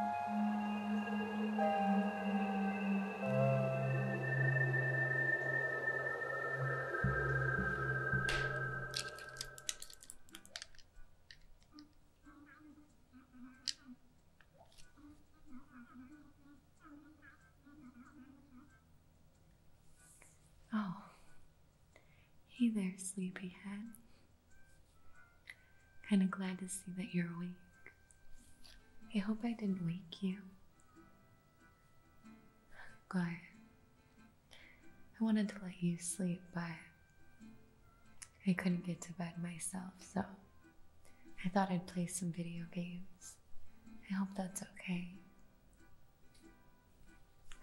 Oh, hey there, sleepyhead. Kind of glad to see that you're awake. I hope I didn't wake you. Good. I wanted to let you sleep, but I couldn't get to bed myself, so I thought I'd play some video games. I hope that's okay.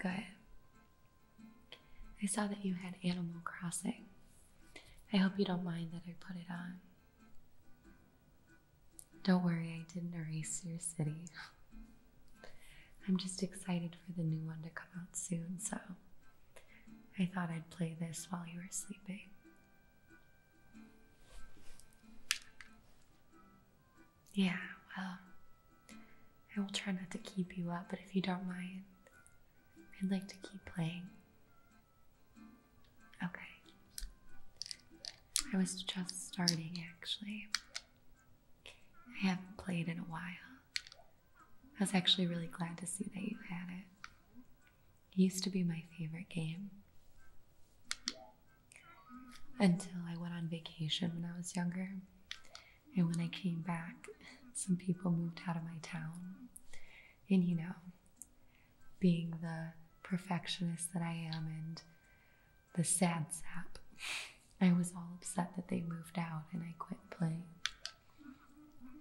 Good. I saw that you had Animal Crossing. I hope you don't mind that I put it on. Don't worry, I didn't erase your city. I'm just excited for the new one to come out soon, so I thought I'd play this while you were sleeping. Yeah, well, I will try not to keep you up, but if you don't mind, I'd like to keep playing. Okay. I was just starting actually. I haven't played in a while. I was actually really glad to see that you had it. used to be my favorite game. Until I went on vacation when I was younger. And when I came back, some people moved out of my town. And you know, being the perfectionist that I am and the sad sap, I was all upset that they moved out and I quit playing.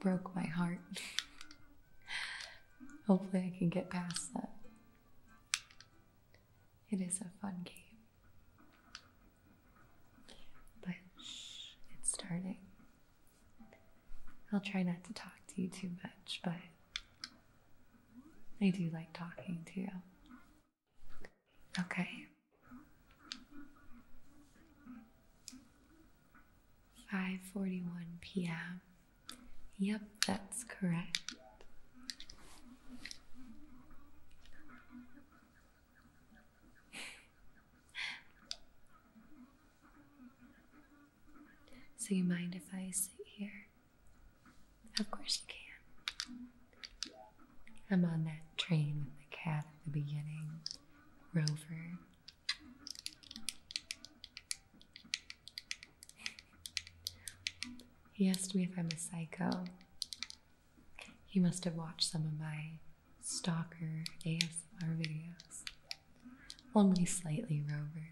Broke my heart. Hopefully, I can get past that. It is a fun game. But it's starting. I'll try not to talk to you too much, but I do like talking to you. Okay. Five forty one PM. Yep, that's correct so, you mind if I sit here? Of course, you can. I'm on that train with the cat at the beginning, Rover. He asked me if I'm a psycho. He must have watched some of my stalker ASMR videos. Only slightly, Rover.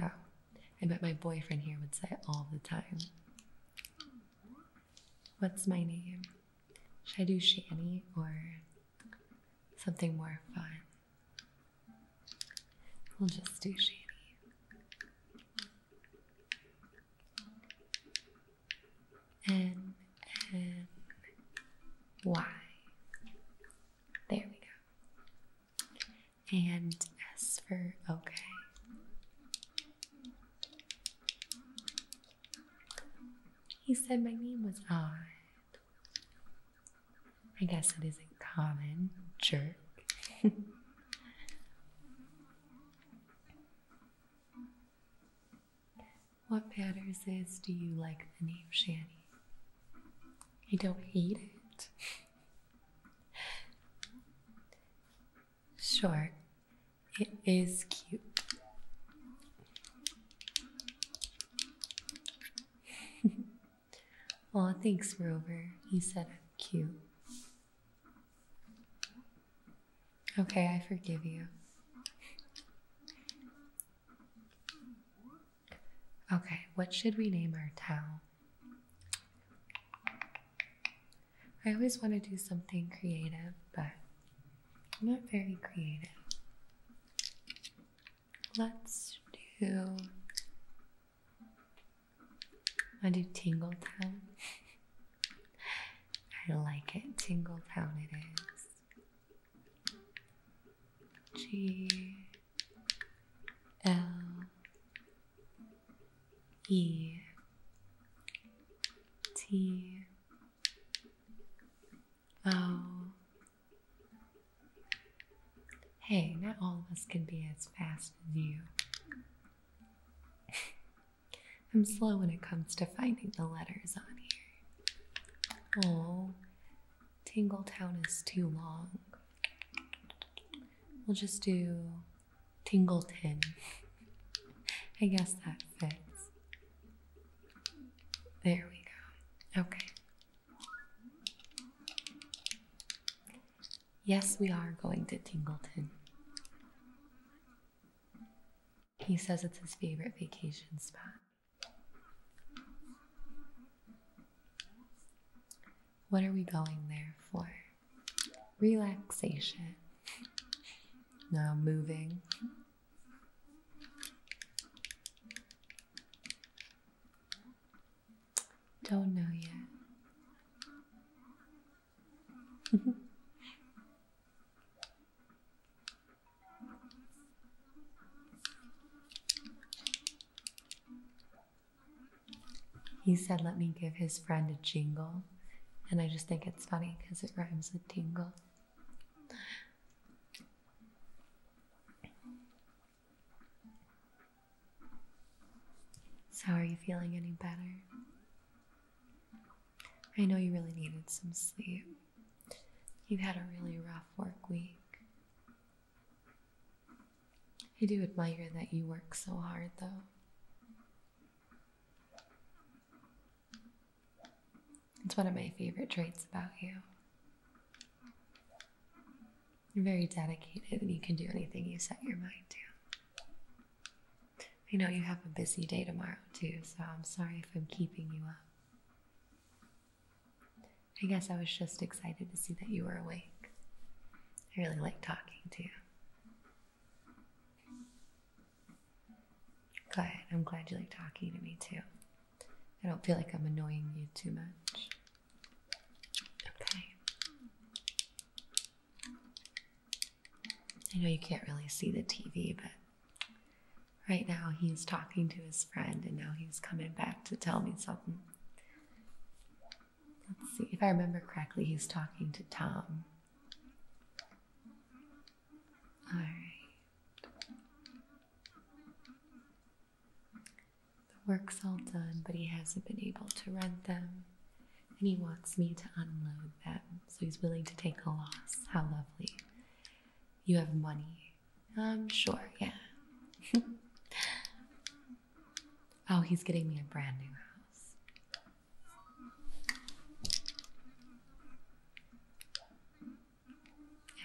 Oh, I bet my boyfriend here would say all the time. What's my name? Should I do Shani or something more fun? We'll just do Shani. N N Y. There we go. And S for okay. He said my name was odd. I guess it isn't common, jerk. What matters is, do you like the name Shanny? I don't hate it. Sure, it is cute. Aw, thanks, Rover. He said cute. Okay, I forgive you. Okay, what should we name our town? I always want to do something creative, but I'm not very creative. Let's do. I do Tingle Town. I like it. Tingle Town it is. G L E T O Hey, not all of us can be as fast as you. I'm slow when it comes to finding the letters on here. Oh, Tingletown is too long. We'll just do Tingleton. I guess that fits. There we go. Okay. Yes, we are going to Tingleton. He says it's his favorite vacation spot. What are we going there for? Relaxation. Now moving. Don't know yet. Mm-hmm. He said, let me give his friend a jingle. And I just think it's funny because it rhymes with tingle. So, are you feeling any better? I know you really needed some sleep. You've had a really rough work week. I do admire that you work so hard, though. It's one of my favorite traits about you. You're very dedicated and you can do anything you set your mind to. I know you have a busy day tomorrow too, so I'm sorry if I'm keeping you up. I guess I was just excited to see that you were awake. I really like talking to you. Good. I'm glad you like talking to me too. I don't feel like I'm annoying you too much. Okay. I know you can't really see the TV, but right now he's talking to his friend and now he's coming back to tell me something. Let's see, if I remember correctly, he's talking to Tom. All right. The work's all done, but he hasn't been able to rent them and he wants me to unload them. So he's willing to take a loss. How lovely. You have money. I'm um, sure, yeah. oh, he's getting me a brand new house.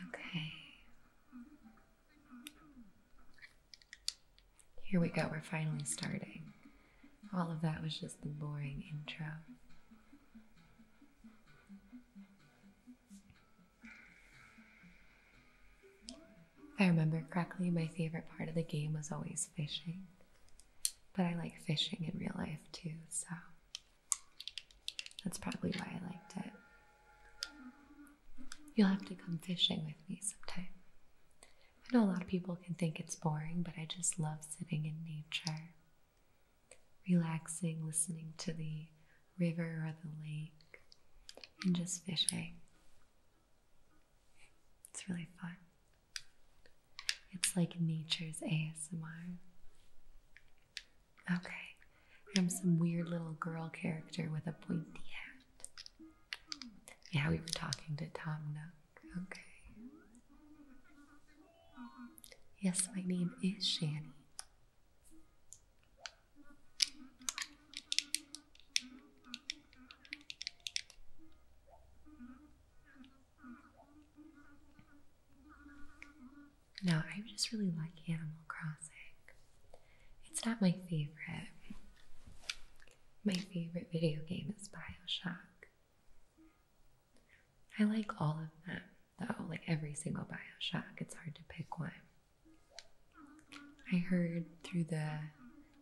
Okay. Here we go, we're finally starting. All of that was just the boring intro. If I remember correctly, my favorite part of the game was always fishing. But I like fishing in real life too, so that's probably why I liked it. You'll have to come fishing with me sometime. I know a lot of people can think it's boring, but I just love sitting in nature, relaxing, listening to the river or the lake, and just fishing. It's really fun. It's like nature's ASMR. Okay, I'm some weird little girl character with a pointy hat. Yeah, we were talking to Tom Nook. Okay. Yes, my name is Shani. No, I just really like Animal Crossing. It's not my favorite. My favorite video game is Bioshock. I like all of them, though, like every single Bioshock. It's hard to pick one. I heard through the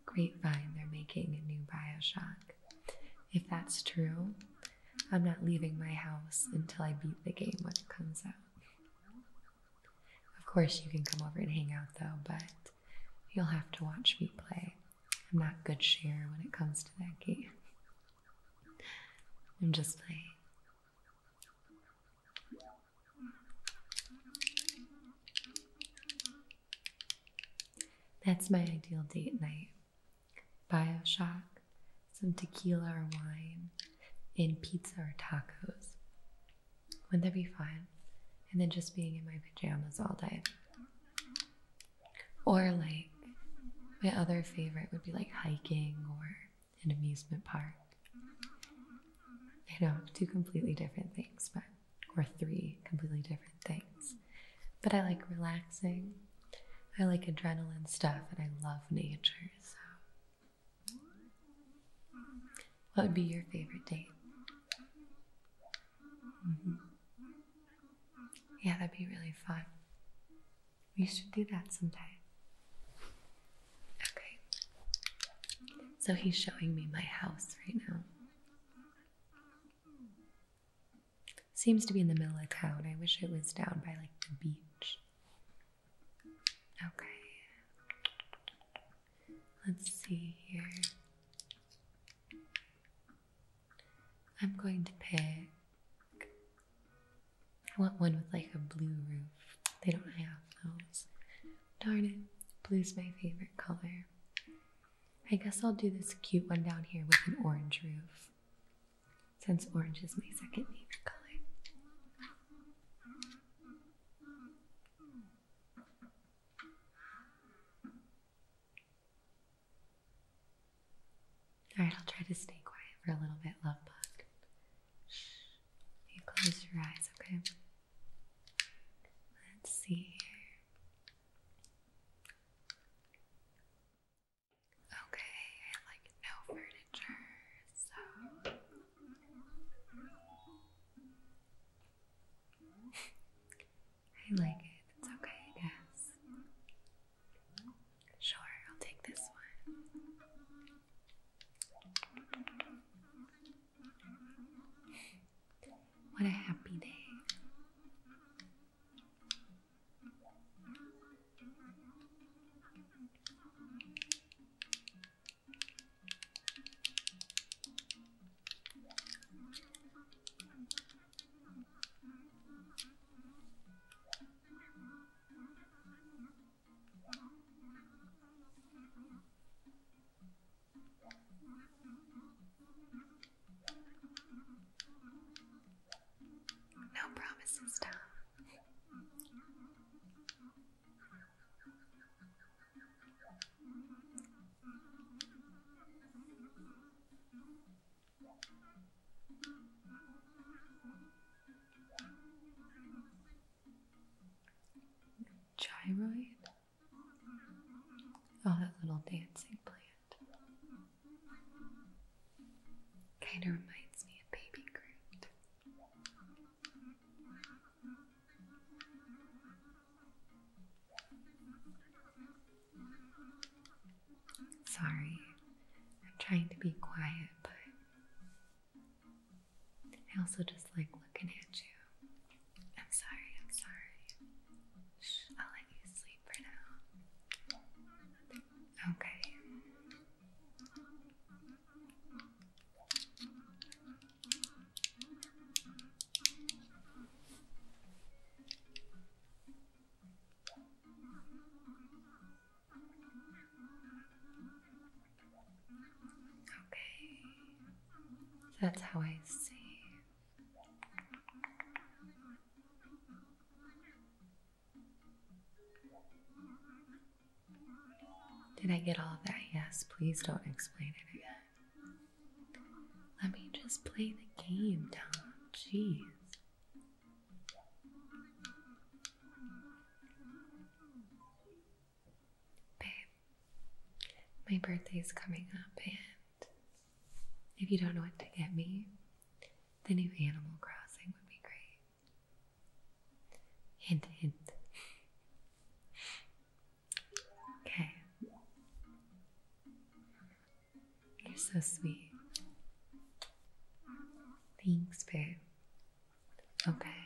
grapevine they're making a new Bioshock. If that's true, I'm not leaving my house until I beat the game when it comes out. Of course, you can come over and hang out though, but you'll have to watch me play. I'm not good share when it comes to that game. I'm just playing. That's my ideal date night. Bioshock, some tequila or wine, and pizza or tacos would that be fun? And then just being in my pajamas all day. Or like my other favorite would be like hiking or an amusement park. I know, two completely different things, but or three completely different things. But I like relaxing. I like adrenaline stuff and I love nature, so what would be your favorite date? Mm-hmm. Yeah, that'd be really fun. We should do that sometime. Okay. So he's showing me my house right now. Seems to be in the middle of town. I wish it was down by like the beach. Okay. Let's see here. I'm going to pick. I want one with like a blue roof. They don't have those. Darn it. Blue's my favorite color. I guess I'll do this cute one down here with an orange roof. Since orange is my second favorite color. All right, I'll try to stay quiet for a little bit, love bug. You close your eyes, okay? Let's see Okay, like no furniture, so I like it. It's okay, I guess. Sure, I'll take this one. What a happy day. No promises, Tom. Gyroid? Oh, that little dancing plant. Kind of reminds me of Baby Groot. Sorry, I'm trying to be quiet, but I also just like looking at you. I'm sorry, I'm sorry. I'll let you sleep for now. Okay. Okay, that's how I see. Did I get all of that? Yes, please don't explain it again. Let me just play the game, Tom. Jeez. Babe, my birthday's coming up, and if you don't know what to get me, the new Animal Crossing would be great. Hint, hint. Okay. You're so sweet. Thanks, babe. Okay.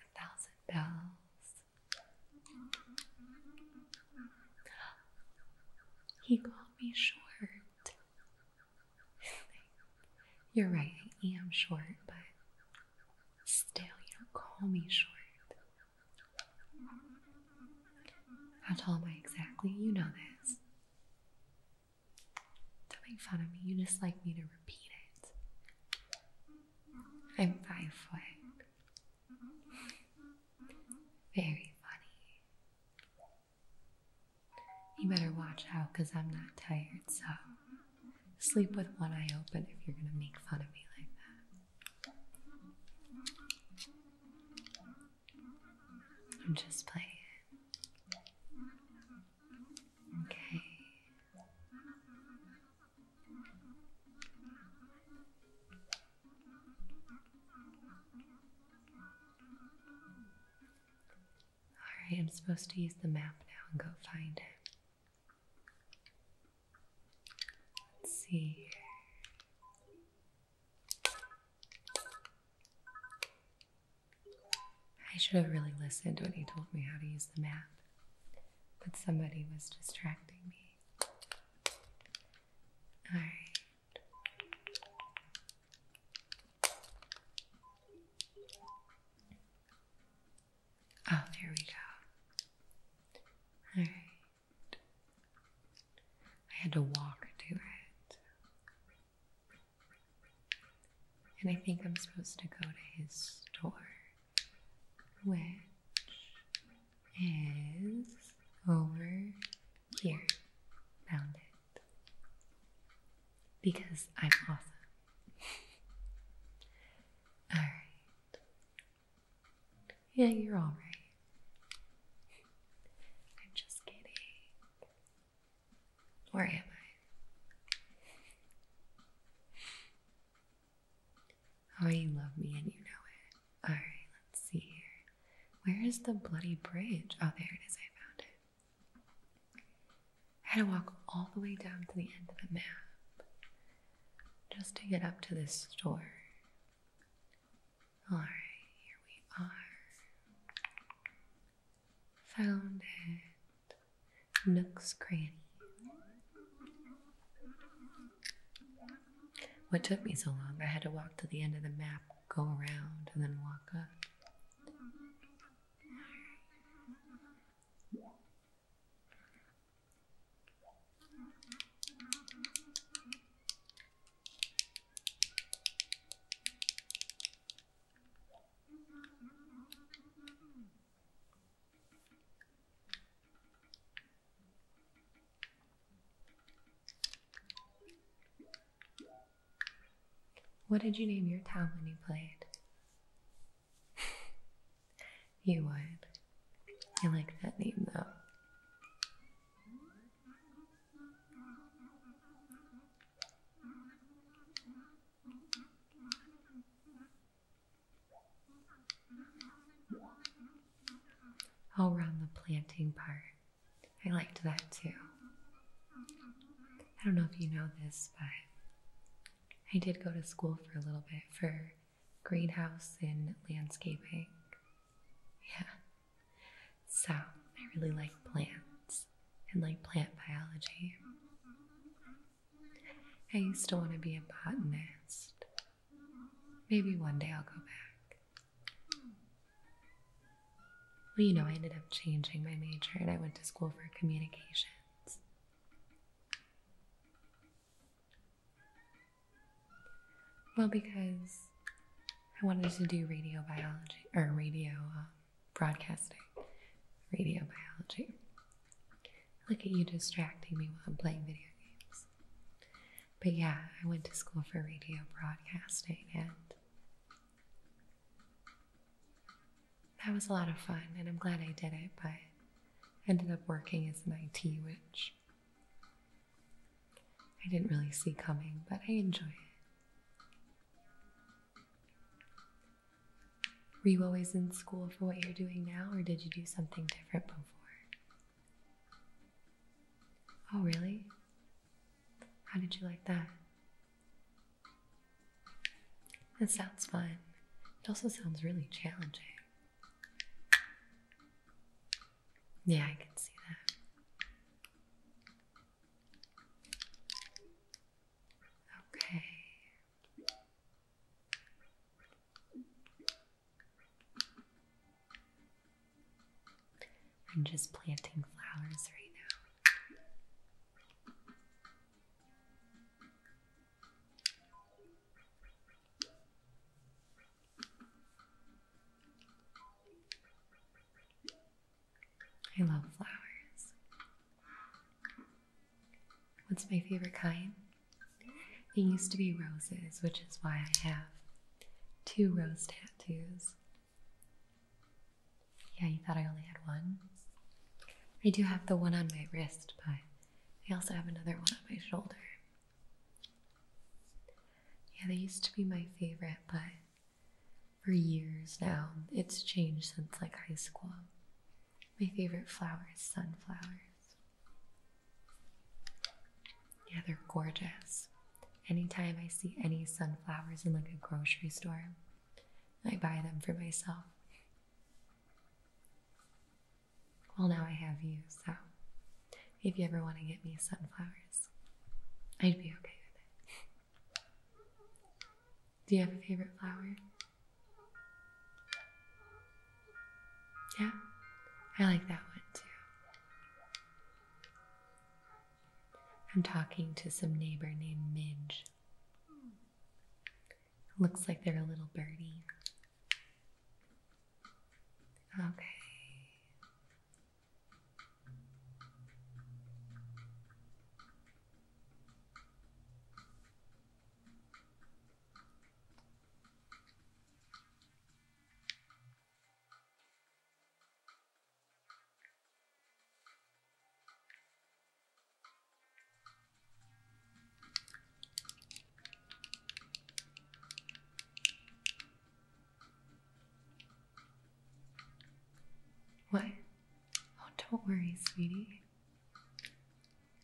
A thousand bells. He called me short. You're right, I am short, but still, you don't call me short. How tall am I exactly? You know this. Don't make fun of me, you dislike me to repeat it. I'm five foot. Very funny. You better watch out because I'm not tired, so sleep with one eye open if you're going to make fun of me like that. I'm just playing. Okay. Alright, I'm supposed to use the map now and go find him. Let's see I should have really listened when he told me how to use the map, but somebody was distracting me. Alright. Oh, there we go. All right. I had to walk to it. And I think I'm supposed to go to his store, which is over here. Found it. Because I'm awesome. all right. Yeah, you're all right. I'm just kidding. Where am I? Oh, you love me and you know it. All right, let's see here. Where is the bloody bridge? Oh, there it is. I found it. I had to walk all the way down to the end of the map just to get up to this store. Alright, here we are. Found it. Nook's Cranny. What took me so long? I had to walk to the end of the map go around and then walk up. What did you name your town when you played? you would. I like that name though. I'll the planting part. I liked that too. I don't know if you know this, but I did go to school for a little bit for greenhouse and landscaping. Yeah. So I really like plants and like plant biology. I used to want to be a botanist. Maybe one day I'll go back. Well, you know, I ended up changing my major and I went to school for communications. Well, because I wanted to do radio biology or radio um, broadcasting, radio biology. Look at you distracting me while I'm playing video games. But yeah, I went to school for radio broadcasting and that was a lot of fun, and I'm glad I did it, but ended up working as an IT which I didn't really see coming, but I enjoy it. Were you always in school for what you're doing now, or did you do something different before? Oh, really? How did you like that? It sounds fun. It also sounds really challenging. Yeah, I can see that. Okay. I'm just planting flowers right now. I love flowers. What's my favorite kind? It used to be roses, which is why I have two rose tattoos. Yeah, you thought I only had one? I do have the one on my wrist, but I also have another one on my shoulder. Yeah, they used to be my favorite, but for years now, it's changed since like high school. My favorite flower is sunflowers. Yeah, they're gorgeous. Anytime I see any sunflowers in like a grocery store, I buy them for myself. Well, now I have you, so if you ever want to get me sunflowers, I'd be okay with it. Do you have a favorite flower? Yeah, I like that one too. I'm talking to some neighbor named Midge. Looks like they're a little birdie. Okay. What? Oh, don't worry, sweetie.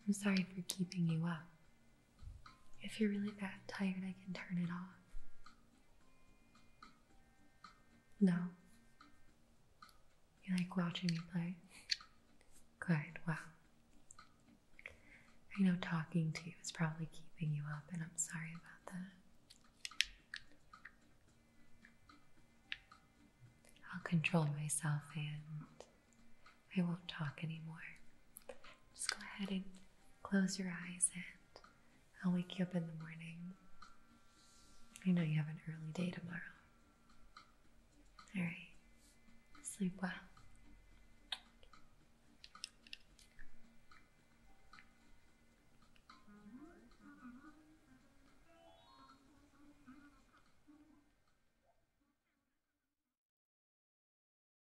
I'm sorry for keeping you up. If you're really that tired, I can turn it off. No. You like watching me play? Good, wow. I know talking to you is probably keeping you up, and I'm sorry about that. I'll control myself and I won't talk anymore. Just go ahead and Close your eyes and I'll wake you up in the morning. I know you have an early day tomorrow. All right, sleep well.